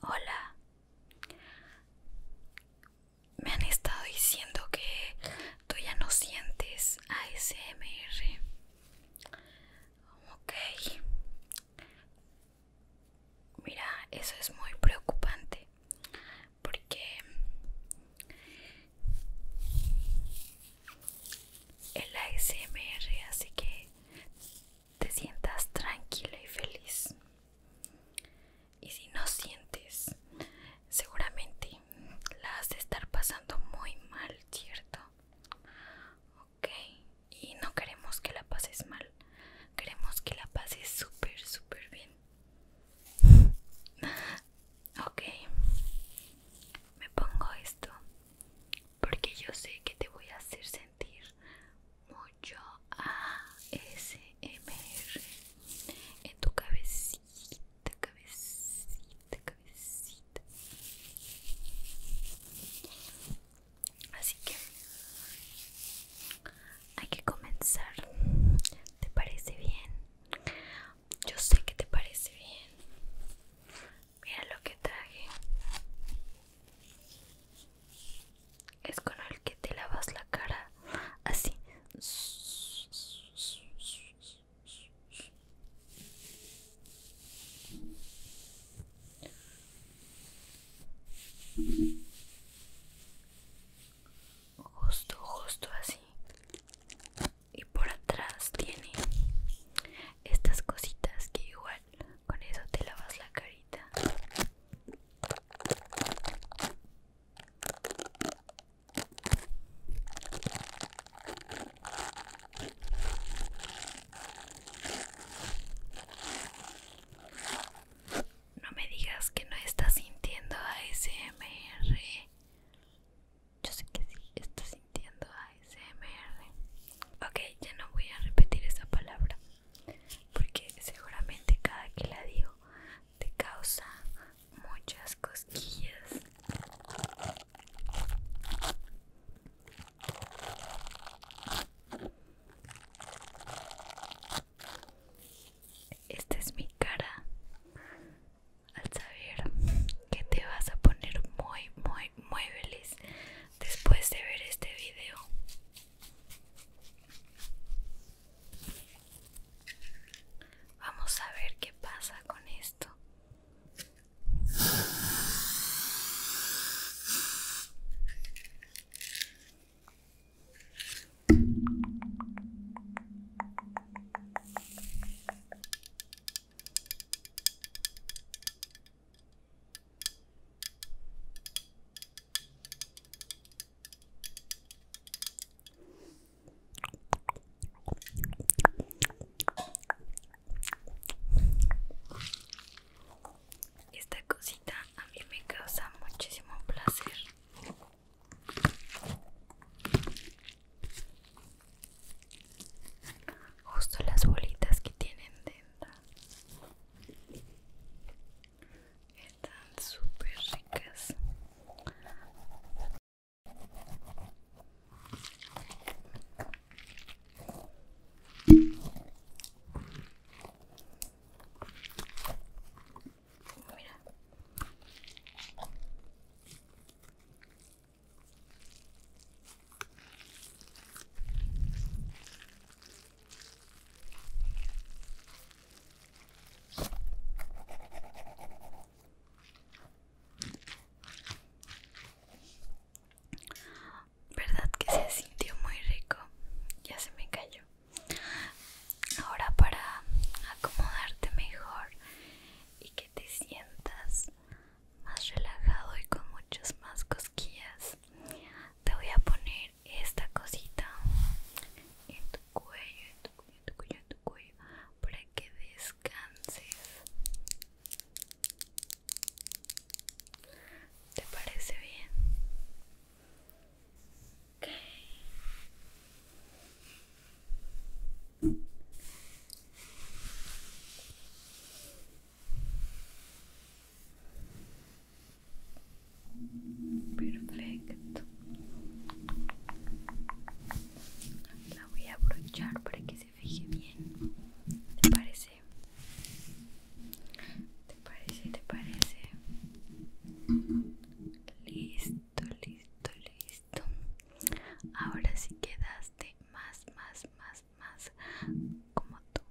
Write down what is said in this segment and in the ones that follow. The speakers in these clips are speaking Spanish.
Hola. Me han estado diciendo que tú ya no sientes ASMR. Ok. Mira, eso es muy preocupante. Porque el ASMR hace que te sientas tranquila y feliz. Y si no sientes, seguramente la has de estar pasando muy mal, ¿cierto? Ok, y no queremos que la pases mal, queremos que la pases súper, súper bien. ok, me pongo esto porque yo sé que te voy a hacer sentir mucho ASMR en tu cabecita, cabecita, cabecita. Así que hay que comenzar. ¿Te parece bien? Yo sé que te parece bien. Mira lo que traje. Es con el que te lavas la cara. Así. Justo, justo así. Y por atrás tiene estas cositas que igual con eso te lavas la carita. No me digas que no estás sintiendo ASMR. Yo sé que sí, estás sintiendo Ok, ya no voy a repetir esa palabra porque seguramente cada que la digo te causa muchas cosquillas. Esta es mi cara al saber que te vas a poner muy, muy, muy después de ver este video. Vamos a ver qué pasa con esto. Esta cosita a mí me causa muchísimo placer. Justo las bolitas que tienen dentro. Están súper ricas. Verdad que se sintió muy rico, ya se me cayó. Ahora para acomodarte mejor y que te sientas más relajado y con muchas más cosquillas. Te voy a poner esta cosita en tu cuello, en tu cuello, en tu cuello, en tu cuello para que descanses. ¿Te parece bien? Ok Perfecto. La voy a abrochar para que se fije bien. ¿Te parece? ¿Te parece? ¿Te parece? Listo, listo, listo ahora sí quedaste más más más más como tú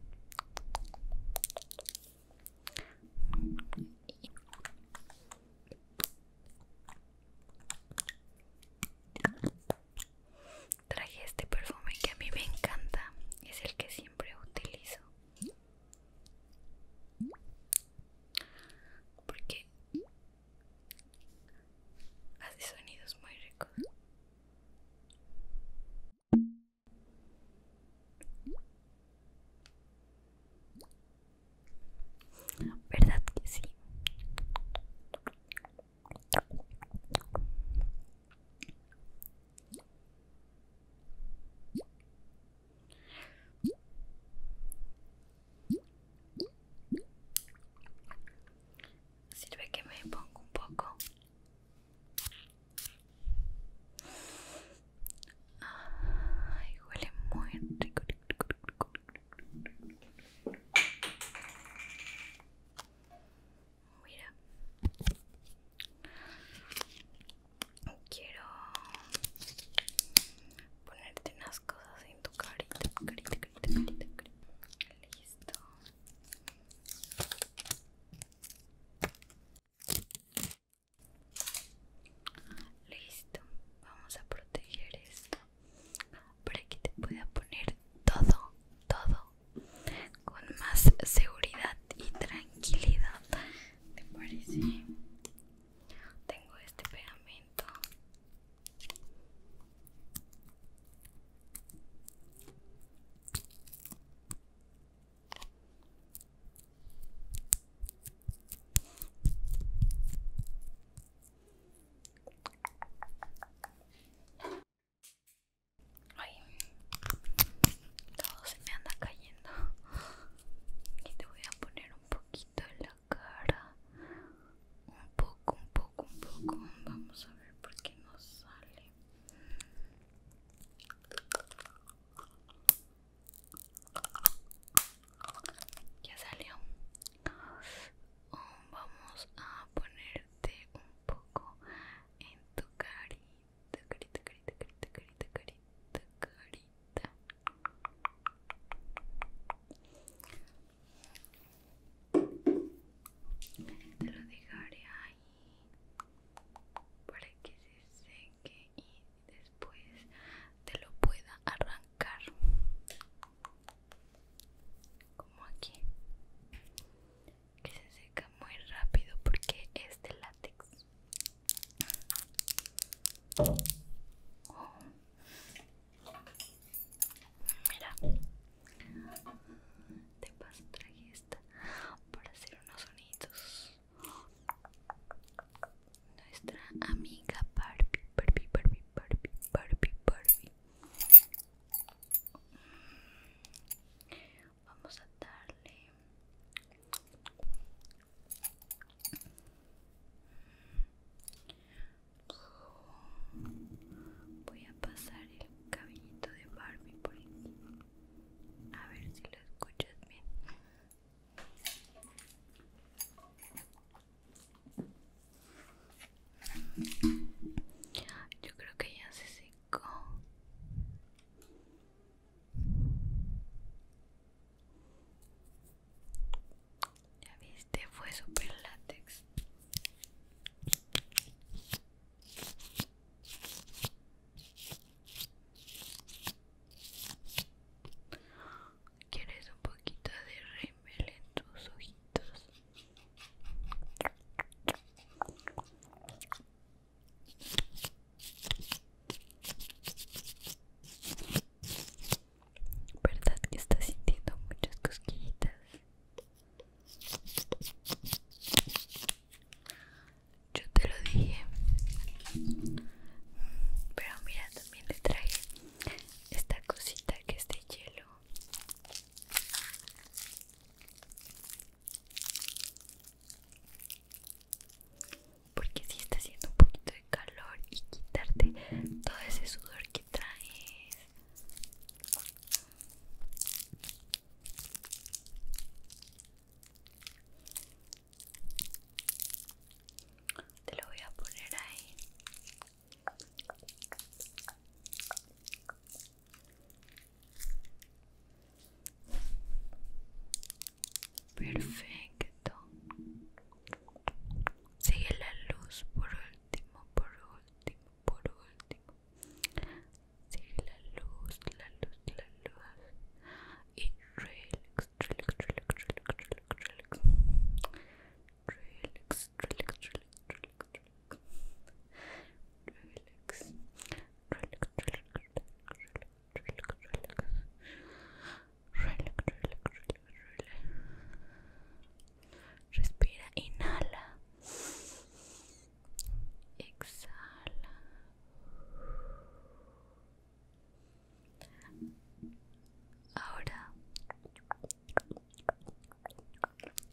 Traje este perfume que a mí me encanta, es el que siempre utilizo porque hace sonidos muy ricos. ¿Verdad que sí? Sirve que me pongo un poco. huele muy rico. Mira quiero ponerte unas cosas en tu carita, carita, carita, carita, carita. Listo. Listo. Vamos a proteger esto para que te pueda poner todo, todo con más seguridad y tranquilidad ¿Te parece? Tengo este pegamento todo se me anda cayendo y te voy a poner un poquito en la cara un poco un poco un poco vamos a ver por qué no sale ya salió oh, vamos a ponerte un poco en tu cara carita, carita, carita, carita, carita, carita. Te lo dejaré ahí para que se seque y después te lo pueda arrancar como aquí que se seca muy rápido porque es de látex. Oh. Mira, Te paso traje esta para hacer unos sonidos. Nuestra amiga Barbie, Barbie, Barbie, Barbie, Barbie, Barbie vamos a darle voy a pasar el cabellito de Barbie por aquí a ver si lo escuchas bien yo creo que ya se secó ya viste, fue super látex. ¿Quieres un poquito de Rimmel en tus ojitos? ¿Verdad que estás sintiendo muchas cosquillitas? Yo te lo dije. Pero mira, también le traje esta cosita que es de hielo. Porque si está haciendo un poquito de calor y quitarte todo ese sudor que traes. Te lo voy a poner ahí Perfecto. Sigue la luz por último, por último, por último. Sigue la luz, la luz, la luz. Y relax, relax, relax, relax, relax, relax. Relax, relax, relax, relax. relax, Respira, inhala, exhala. Ahora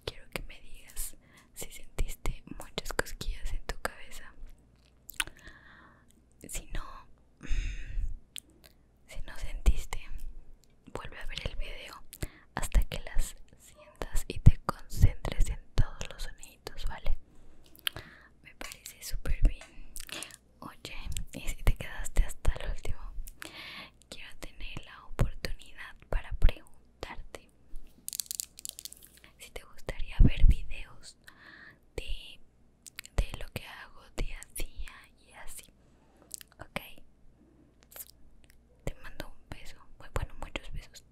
Quiero que me digas si sentiste muchas cosquillas en tu cabeza. Si no, mm, si no sentiste, vuelve a ver el video hasta que las sientas y te concentres en todos los sonidos, ¿vale? Me parece súper bien. Oye, y si te quedaste hasta el último, quiero tener la oportunidad para preguntarte si te gustaría ver videos de, lo que hago día a día y así. Ok, te mando un beso, bueno, muchos besos.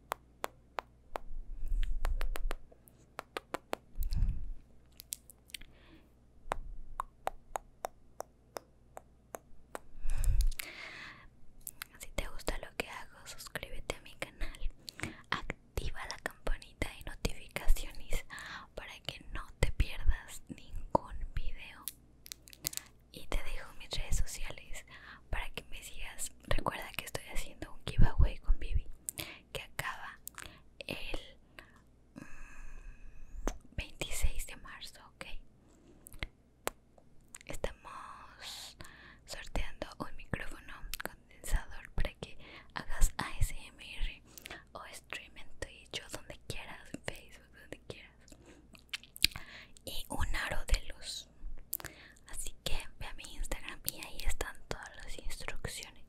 Si te gusta lo que hago, suscríbete a mi canal, activa la campanita de notificaciones para que no te pierdas ningún video. Y te dejo mis redes sociales para que me sigas. Recuerda que estoy haciendo un giveaway con Vivi que acaba el 26 de marzo, ok. Estamos sorteando un micrófono condensador para que hagas ASMR o stream en Twitch o donde quieras, Facebook, donde quieras. Y un aro de luz. Así que ve a mi Instagram y ahí están todas las instrucciones.